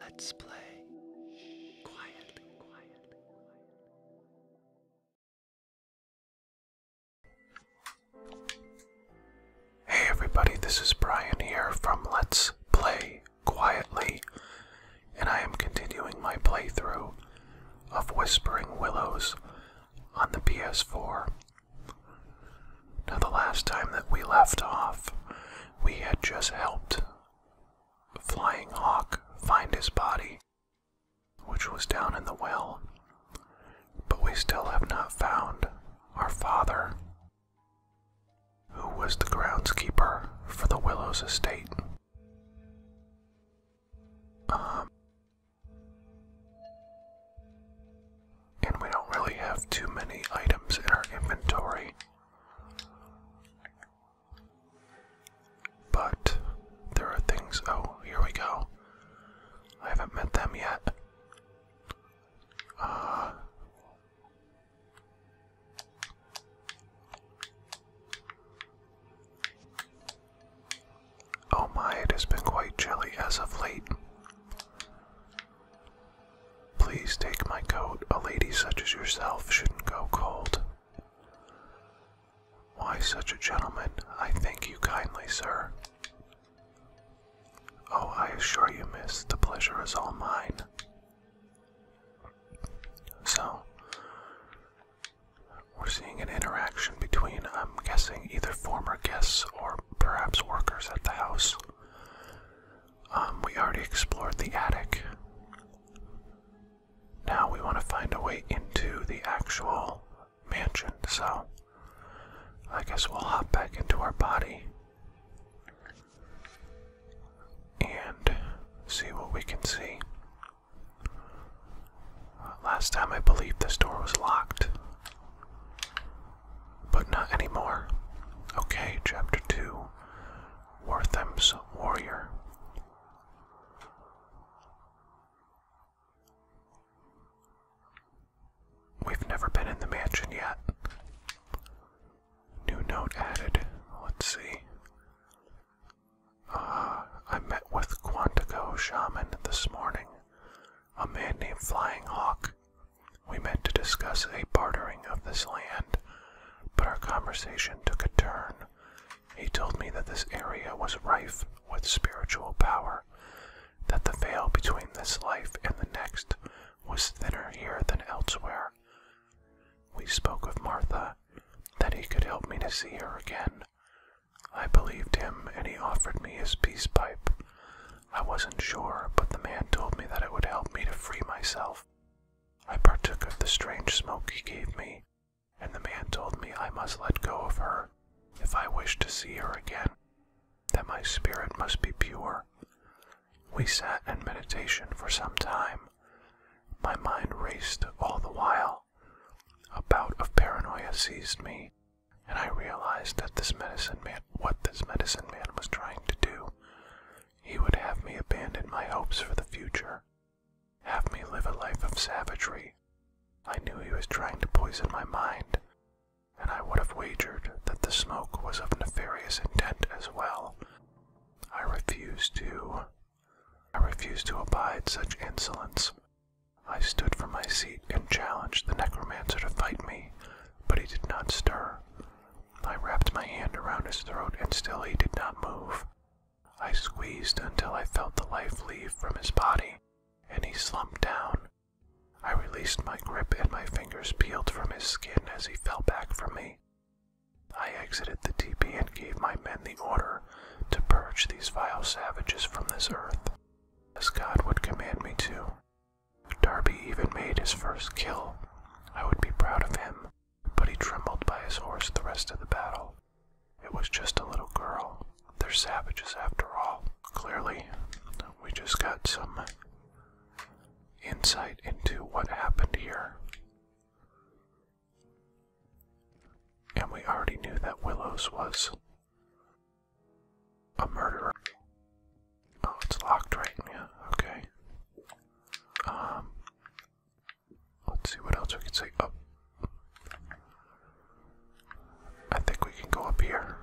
Let's play Hey everybody, this is Brian here from Let's Play Quietly, and I am continuing my playthrough of Whispering Willows on the PS4. Now, the last time that we left off, we had just helped Flying Hawk find his body, which was down in the well, but we still have not found our father, who was the groundskeeper for the Willows estate. Um, and we don't really have too many items in our inventory but there are things. Oh, here we go. I haven't met them yet. Uh, oh, my, it has been quite chilly as of late. Please take my coat. A lady such as yourself shouldn't go cold. Why, such a gentleman, I thank you kindly, sir. Oh, I assure you, miss, the pleasure is all mine. So, we're seeing an interaction between, I'm guessing, either former guests or perhaps workers at the house. Um, we already explored the attic. Now we want to find a way into the actual mansion, so I guess we'll hop back into our body and see what we can see. last time I believe this door was locked but not anymore. Okay, chapter 2 Wartham's Warrior. We've never been in the mansion yet. New note added. Let's see. Uh, I met with Quantico Shaman this morning, a man named Flying Hawk. We meant to discuss a bartering of this land, but our conversation took a turn. He told me that this area was rife with spiritual power, that the veil between this life and the next was thinner here than elsewhere. We spoke of Martha, that he could help me to see her again. I believed him, and he offered me his peace pipe. I wasn't sure, but the man told me that it would help me to free myself. I partook of the strange smoke he gave me, and the man told me I must let go of her if I wished to see her again, that my spirit must be pure. We sat in meditation for some time. My mind raced all the while. A bout of paranoia seized me, and I realized that this medicine man what this medicine man was trying to do. He would have me abandon my hopes for the future, have me live a life of savagery. I knew he was trying to poison my mind, and I would have wagered that the smoke was of nefarious intent as well. I refused to. I refused to abide such insolence. I stood from my seat and challenged the necromancer to fight me, but he did not stir. I wrapped my hand around his throat and still he did not move. I squeezed until I felt the life leave from his body, and he slumped down. I released my grip and my fingers peeled from his skin as he fell back from me. I exited the teepee and gave my men the order to purge these vile savages from this earth, as God would command me to. Darby even made his first kill, I would be proud of him, but he trembled by his horse the rest of the battle. It was just a little girl. They're savages after all. Clearly, we just got some insight into what happened here. And we already knew that Willows was a murderer. Oh, it's locked, right? Yeah, okay. Um, let's see what else we can say. Oh. I think we can go up here.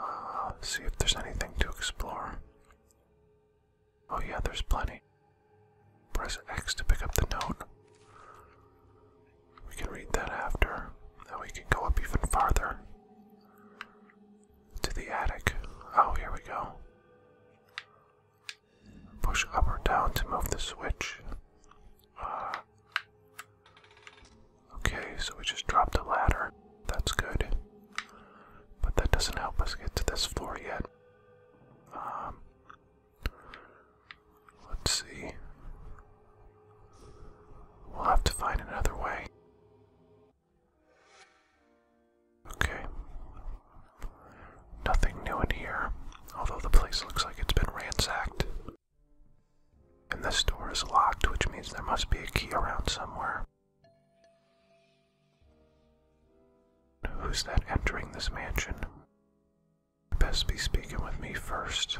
Uh, see if there's anything to explore. Oh, yeah, there's plenty. Press X to pick up the note. We can read that after. Now we can go up even farther. To the attic. Oh, here we go. Push up or down to move the switch. Ah. okay, so we just dropped a ladder. That's good. But that doesn't help us get to this floor yet. Um, let's see. We'll have to find another way. Okay. Nothing new in here, although the place looks like it's been ransacked. And this door is locked, which means there must be a key around somewhere. Who's that entering this mansion? Best be speaking with me first.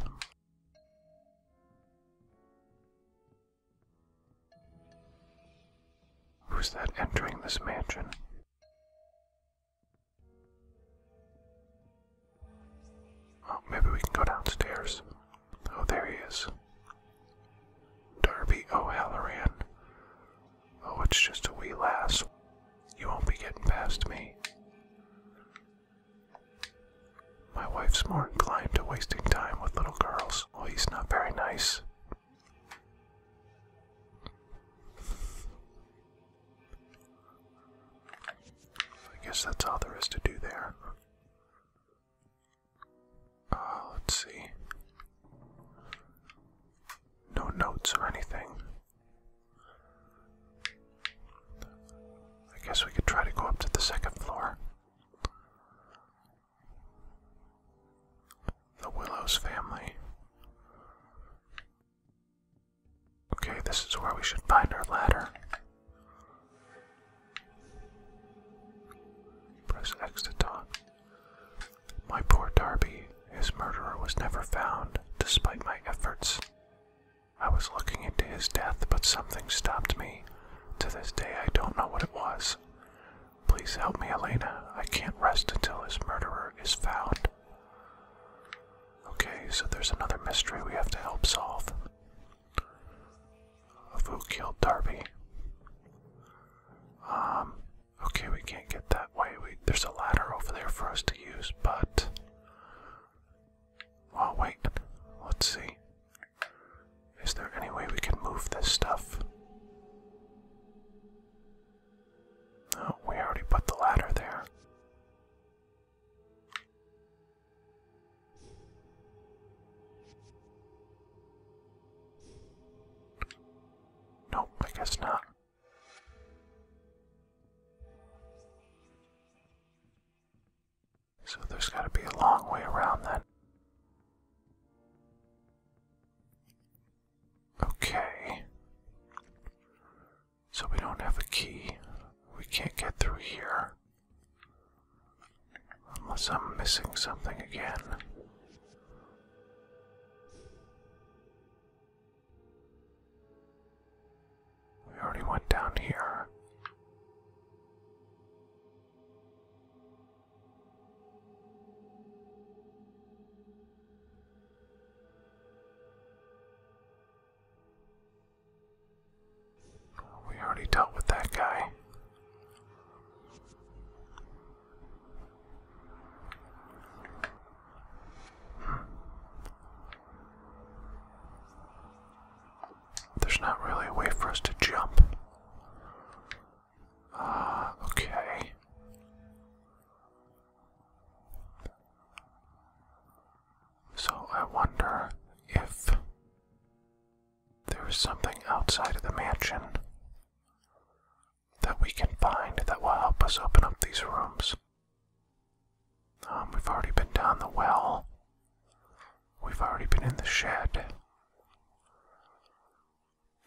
Who's that entering this mansion? Oh, maybe we can go downstairs. Oh, there he is. Darby O'Halloran. Oh, it's just a wee lass. You won't be getting past me. My wife's more inclined to wasting time with little girls. Oh, he's not very nice. I guess that's all there is to do there. Uh, let's see. No notes or anything. I guess we could try to go up to the second floor. The Willows family. Okay, this is where we should find our ladder. Press X to talk. My poor Darby, his murderer was never found, despite my efforts. I was looking into his death, but something stopped me. To this day, I don't know what it was. Please help me, Elena. I can't rest until his murderer is found. Okay, so there's another mystery we have to help solve. Of who killed Darby? Um, okay, we can't get that way. there's a ladder over there for us to use, but. Oh, wait. Let's see. Is there any way we can move this stuff? No, we already put the ladder there. Nope, I guess not. So there's got to be a long way around that. Okay. So we don't have a key. We can't get through here. Unless I'm missing something again. We already went down here. We already dealt with that guy. Hmm. There's not really a way for us to jump. Uh, okay. So I wonder if there is something outside of the mansion that we can find that will help us open up these rooms. Um, we've already been down the well. We've already been in the shed.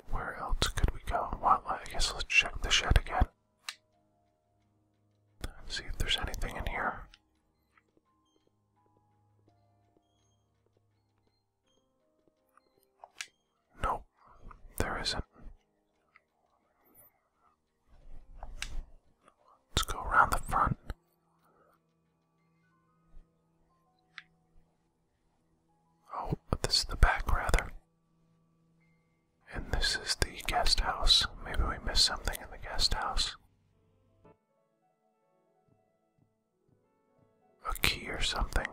Where else could we go? Well, I guess let's check the shed again. See if there's anything in here. Nope, there isn't. Let's go around the front. Oh, but this is the back, rather. And this is the guest house. Maybe we missed something in the guest house. A key or something.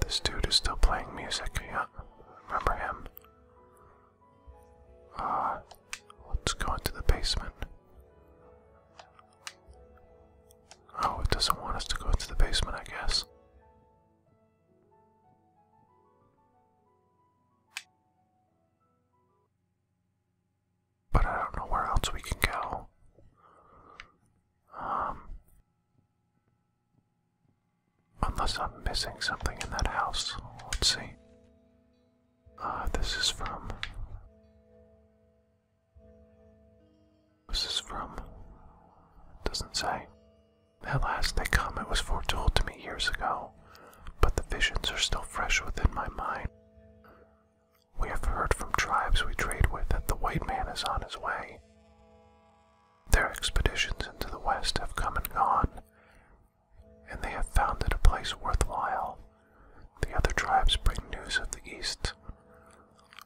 This dude is still playing music. Yeah, remember him. Uh, let's go into the basement. Oh, it doesn't want us to go into the basement, I guess. But I don't know where else we can go. Um, unless I'm missing something in that house. Let's see. Ah, this is from. This is from. It doesn't say. At last they come, it was foretold to me years ago, but the visions are still fresh within my mind. We have heard from tribes we trade with that the white man is on his way. Their expeditions into the west have come and gone, and they have found it a place worthwhile. The other tribes bring news of the East.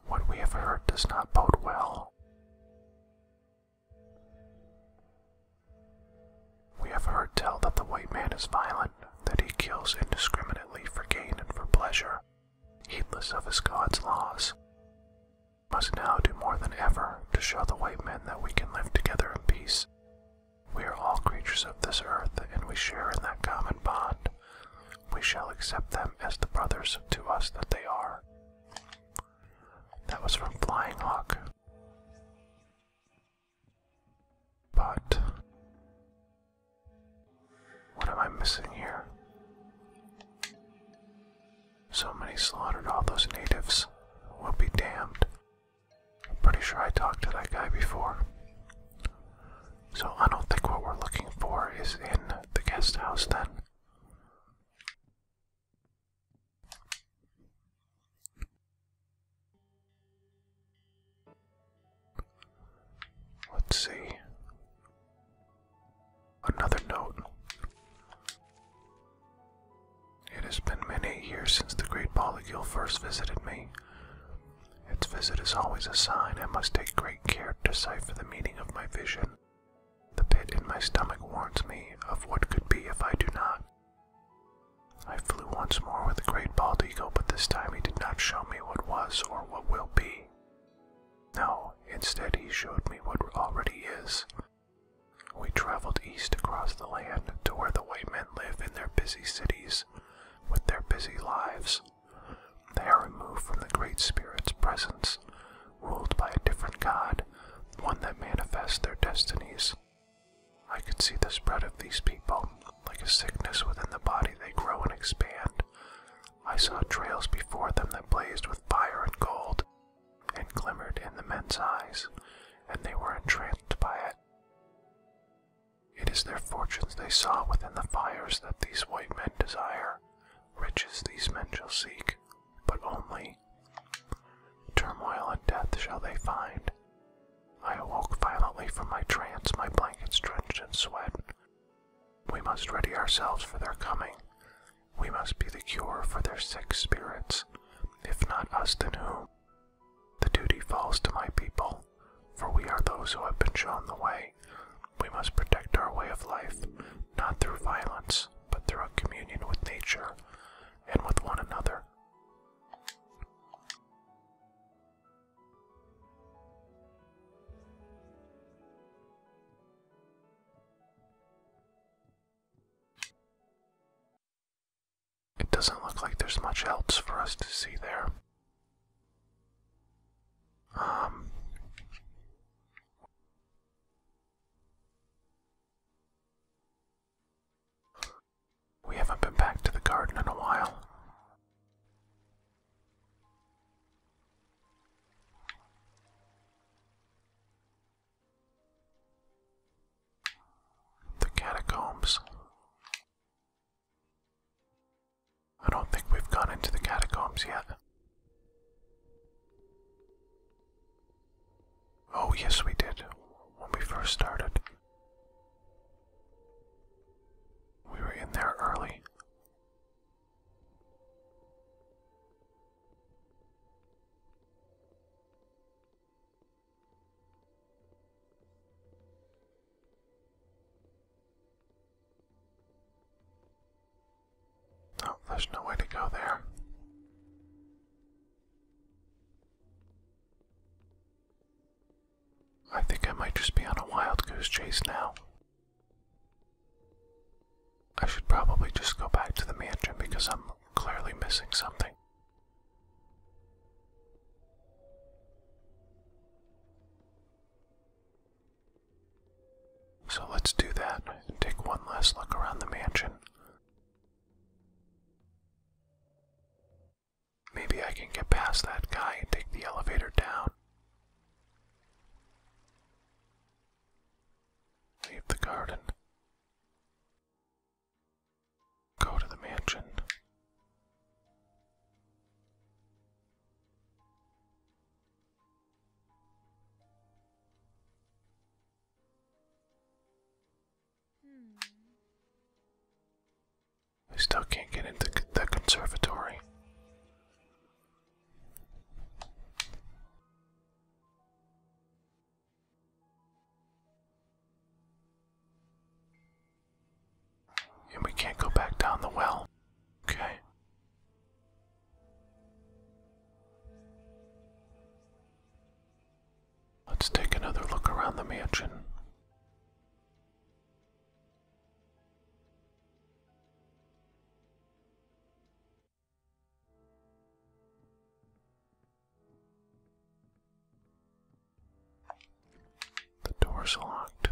What we have heard does not bode well. We have heard tell that the white man is violent, that he kills indiscriminately for gain and for pleasure, heedless of his God's laws. We must now do more than ever to show the white men that we can live together in peace we are all creatures of this earth, and we share in that common bond. We shall accept them as the brothers to us that they are. That was from Flying Hawk. But. What am I missing here? So many slaughtered all those natives. Will be damned. I'm pretty sure I talked to that guy before. So I don't think what we're looking for is in the guest house then. Let's see. Another note. It has been many years since the great bald eagle first visited me. Its visit is always a sign I must take great care to decipher the meaning of my vision. The pit in my stomach warns me of what could be if I do not. I flew once more with the great bald eagle, but this time he did not show me what was or what will be. No, instead he showed me what already is. We traveled east across the land to where the white men live in their busy cities with their busy lives. They are removed from the Great Spirit's presence, ruled by a different God, one that manifests their destinies. I could see the spread of these people, like a sickness within the body, they grow and expand. I saw trails before them that blazed with fire and gold, and glimmered in the men's eyes, and they were entranced by it. It is their fortunes they saw within the fires that these white men desire, riches these men shall seek, but only turmoil and death shall they find. I awoke violently from my trance, my blankets drenched in sweat. We must ready ourselves for their coming. We must be the cure for their sick spirits. If not us, then who? The duty falls to my people, for we are those who have been shown the way. We must protect our way of life, not through violence, but through a communion with nature and with one another. It doesn't look like there's much else for us to see there. Um, we haven't been back to the garden in a while. The catacombs. I don't think we've gone into the catacombs yet. Oh, yes, we did when we first started. We were in there early. Oh, there's no way to go there. I think I might just be on a wild goose chase now. I should probably just go back to the mansion because I'm clearly missing something. So let's do that and take one last look around the mansion. Maybe I can get past that guy and take the elevator down. Leave the garden. Go to the mansion. I hmm. still can't get into the conservatory. And we can't go back down the well. Okay. Let's take another look around the mansion. The door's locked.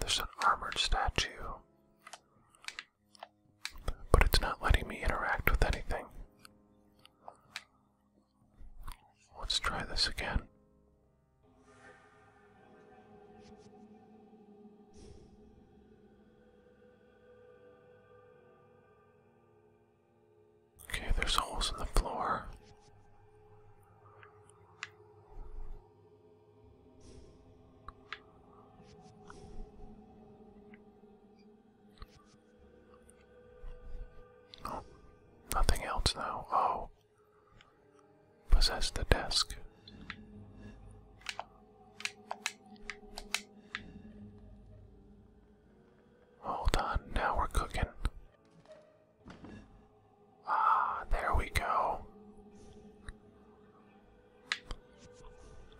There's an armored statue, but it's not letting me interact with anything. Let's try this again. Okay, there's holes in the floor. Oh, nothing else now. Oh, possess the desk. Hold on, now we're cooking. Ah, there we go.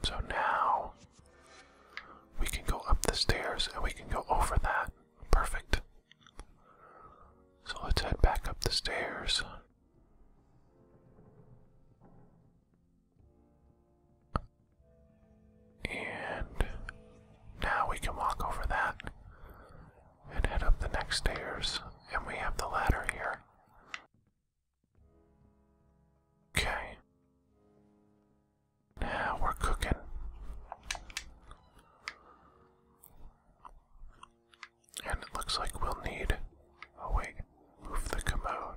So now we can go up the stairs and we can go over that. Perfect. So let's head back up the stairs. And now we can walk over that and head up the next stairs. And we have the ladder here. Okay. Now we're cooking. And it looks like we'll need. Oh wait. Move the commode.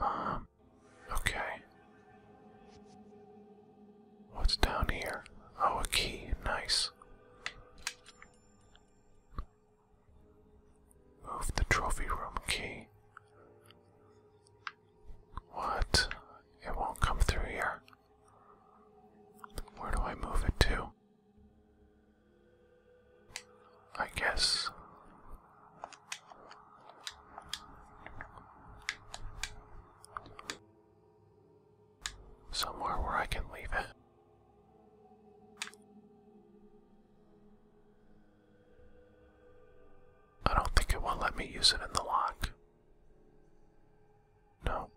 Um, okay. What's down here? Oh, a key. Nice. Move the trophy room key. What? It won't come through here. Where do I move it to? I guess. Somewhere where I can leave it. I don't think it will let me use it in the lock. No.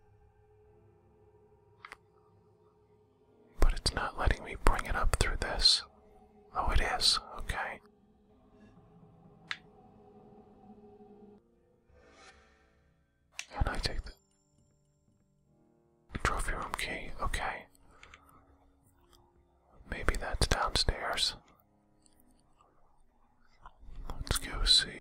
But it's not letting me bring it up through this. Oh, it is. Okay. And I take the trophy room key. Okay. Maybe that's downstairs. Let's go see.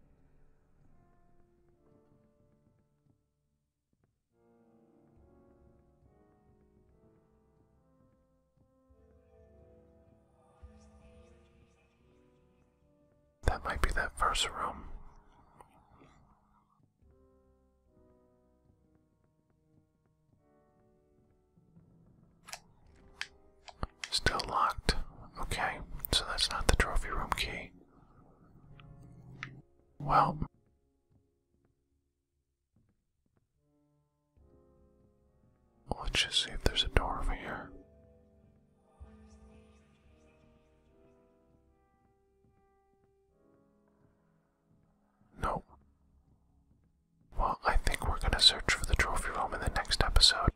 That might be that first room. Still locked. Okay, so that's not the trophy room key. Well. Let's just see if there's a door over here. Nope. Well, I think we're gonna search for the trophy room in the next episode.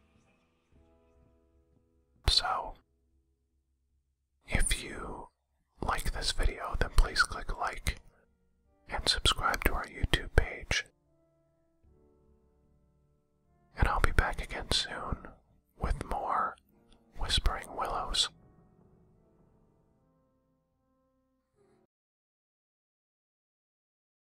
So, if you like this video, then please click like and subscribe to our YouTube page. And I'll be back again soon with more Whispering Willows.